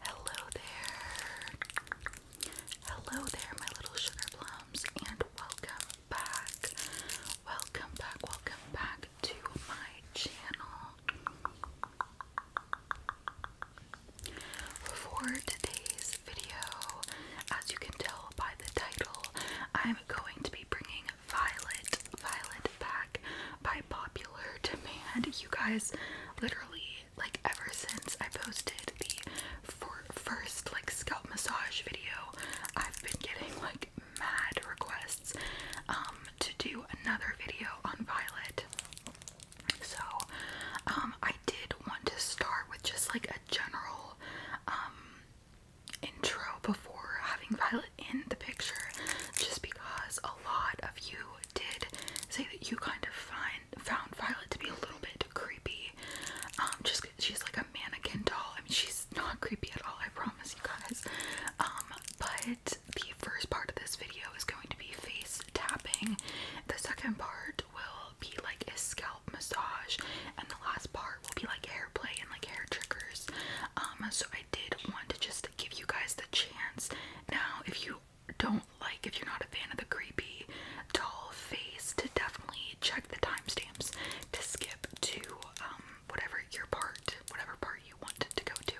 Hello there. Hello there, my little sugar plums, and welcome back. Welcome back, welcome back to my channel. For today's video, as you can tell by the title, I'm going to be bringing Violet, Violet back by popular demand. You guys, literally, like ever since I posted the for first like scalp massage video, I've been getting like mad requests um, to do another video on Violet. So, um, I did want to start with just like a general um, intro before having Violet in the picture just because a lot of you did say that you kind of find found Violet to be a little bit creepy. Um, just she's like a mannequin doll. I mean, she's not creepy at all. I promise you guys. Um, but the first part of this video is going to be face tapping. The second part will be like a scalp massage, and the last part will be like hair play and like hair triggers. Um, so I did want to just give you guys the chance. Now, if you don't like, if you're not a fan of the creepy, doll face, to definitely check the timestamps to skip to um, whatever your part, whatever part you wanted to go to.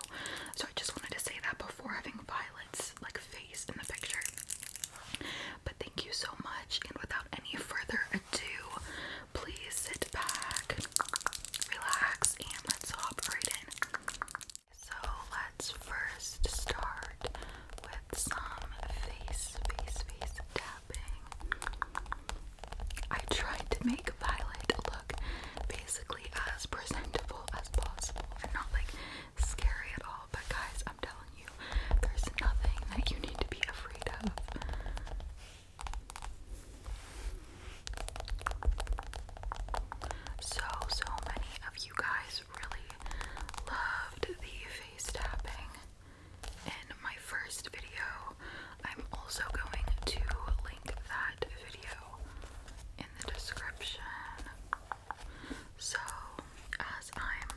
So I just wanted to say that before having Violet's like face in the picture. But thank you so much, and without any further ado, please sit back relax, and let's operate in. So let's first start with some face, face, face tapping. I tried to make Violet look basically as presentable as possible and not like scary at all, but guys, I'm telling you, there's nothing that you need to be afraid of. So, so many of you guys really loved the face tapping in my first video. I'm also going to link that video in the description. So, as I'm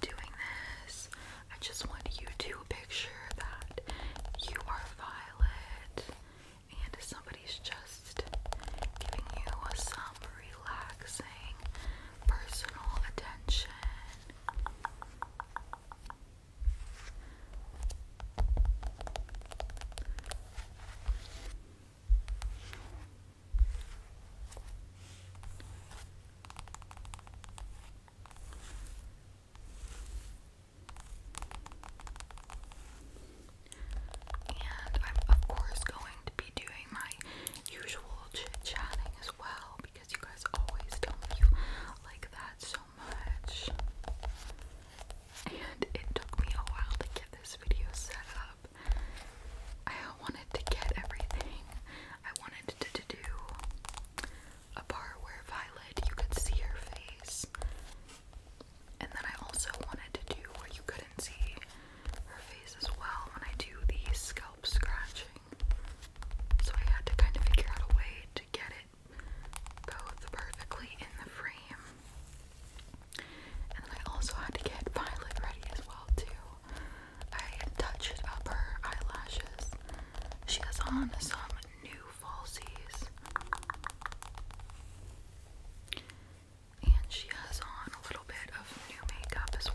doing this, I just want you to make sure that you are Violet and somebody's just giving you some relaxing personal attention. And I'm, of course, going to be doing my usual chit chatting as well because you guys always tell me you like that so much. And it took me a while to get this video set up. I wanted to get everything I wanted to, to do a part where Violet, you could see her face. And then I also wanted to do where you couldn't see her face as well when I do the scalp scratching. So I had to kind of figure out a way to get it both perfectly in the frame. And then I also had to get Violet ready as well too. I touched up her eyelashes she is on some new falsies. And she has on a little bit of new makeup as well.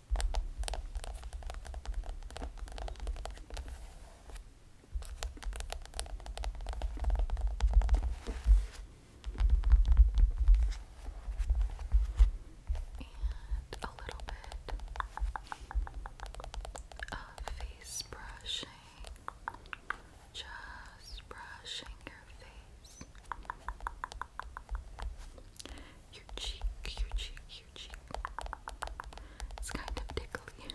And a little bit of face brushing, just brushing your face. Your cheek, your cheek, your cheek. It's kind of tickly.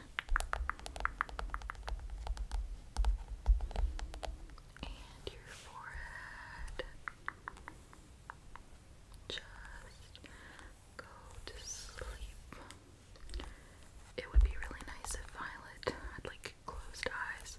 And your forehead. Just go to sleep. It would be really nice if Violet had like closed eyes.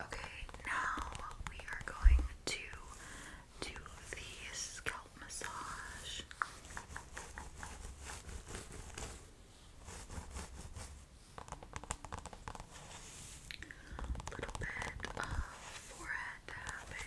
Okay, now we are going to do the scalp massage. A little bit of forehead tapping.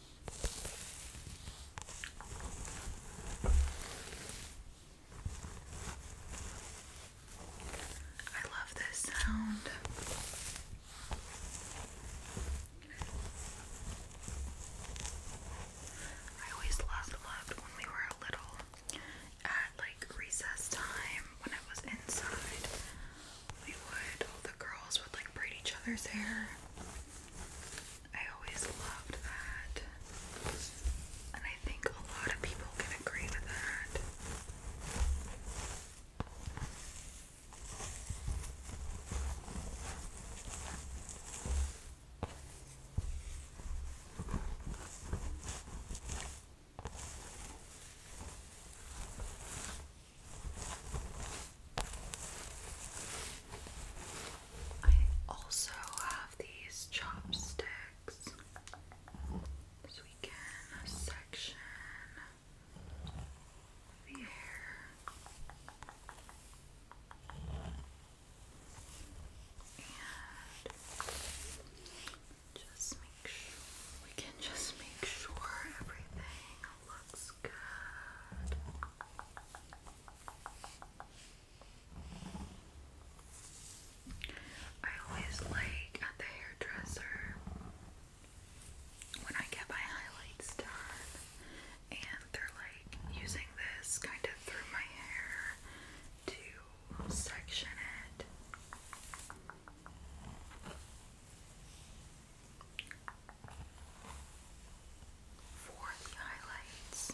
I love this sound. I always loved loved when we were little at like recess time when I was inside we would, all the girls would like braid each other's hair. I always loved that. And I think a lot of people can agree with that. I also have these chopsticks so we can section the hair. And just make sure we can just make sure everything looks good. I always like at the hairdresser when I get my highlights done and they're like using this kind of through my hair to section it for the highlights.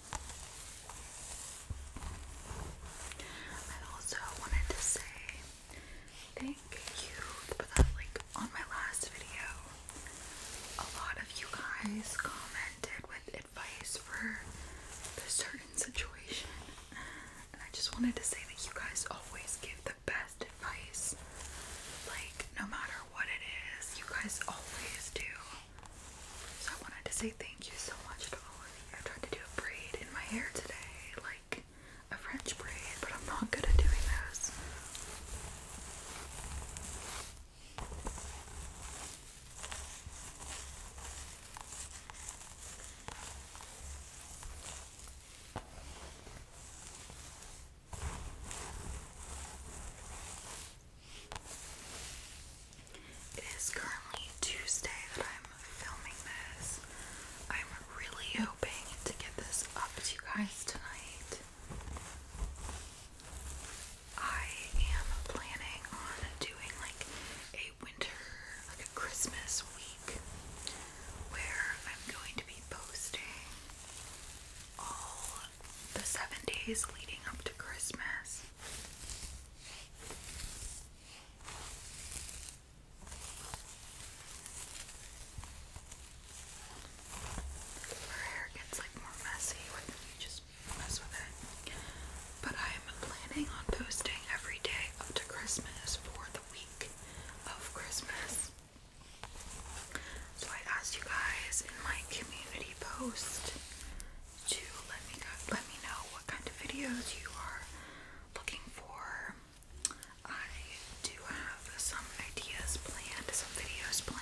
I also wanted to say thank you for that like on my last video a lot of you guys commented with advice for a certain situation and I just wanted to say that you guys always give the best advice like no matter what it is you guys always do so I wanted to say thank you so much to all of you. I tried to do a braid in my hair today, like a French braid, but I'm not good at doing those. It is currently Tuesday that I'm filming this. I'm really hoping to get this up to you guys tonight. I am planning on doing like a winter, like a Christmas week where I'm going to be posting all the seven days leading up to Christmas. Her hair gets like more messy when you just mess with it. But I am planning on posting every day up to Christmas for the week of Christmas. So I asked you guys in my community post to let me let me know what kind of videos you are looking for. I do have some ideas planned, some videos planned.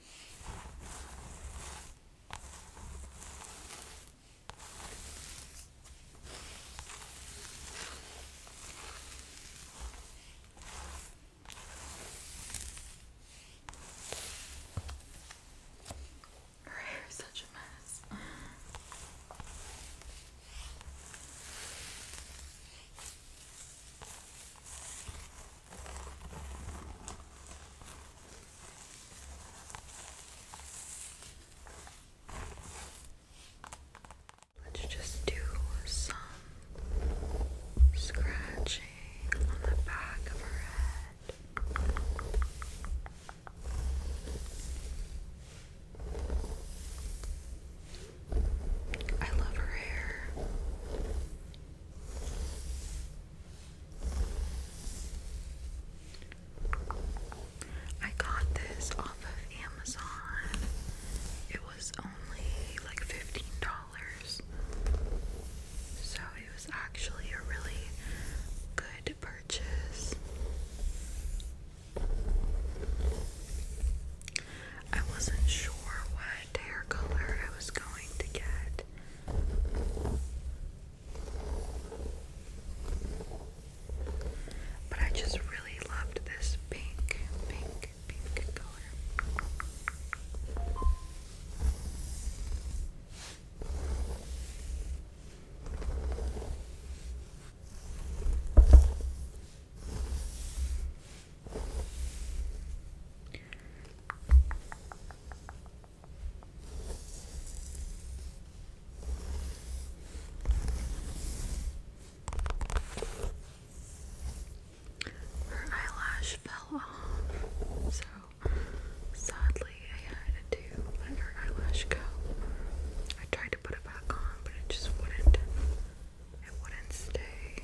Her hair is such a mess. Let's just do some scratching on the back of her head. I love her hair. I got this off of Amazon. It was only like $15. So it was actually a really good purchase. I wasn't sure what hair color I was going to get, it. But I just really loved this pink, pink, pink color. Her eyelash fell off, so sadly I had to let her eyelash go. I tried to put it back on, but it just wouldn't. It wouldn't stay.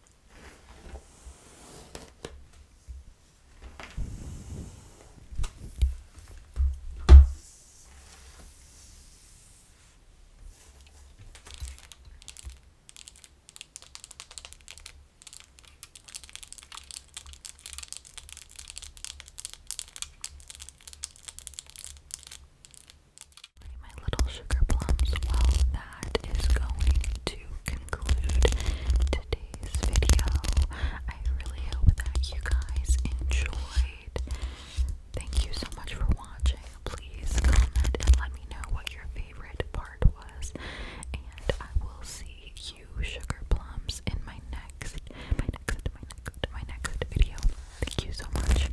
My little sugar plums, that is going to conclude today's video. I really hope that you guys enjoyed. Thank you so much for watching. Please comment and let me know what your favorite part was. And I will see you, sugar plums, in my next, my next, my next, my next video. Thank you so much.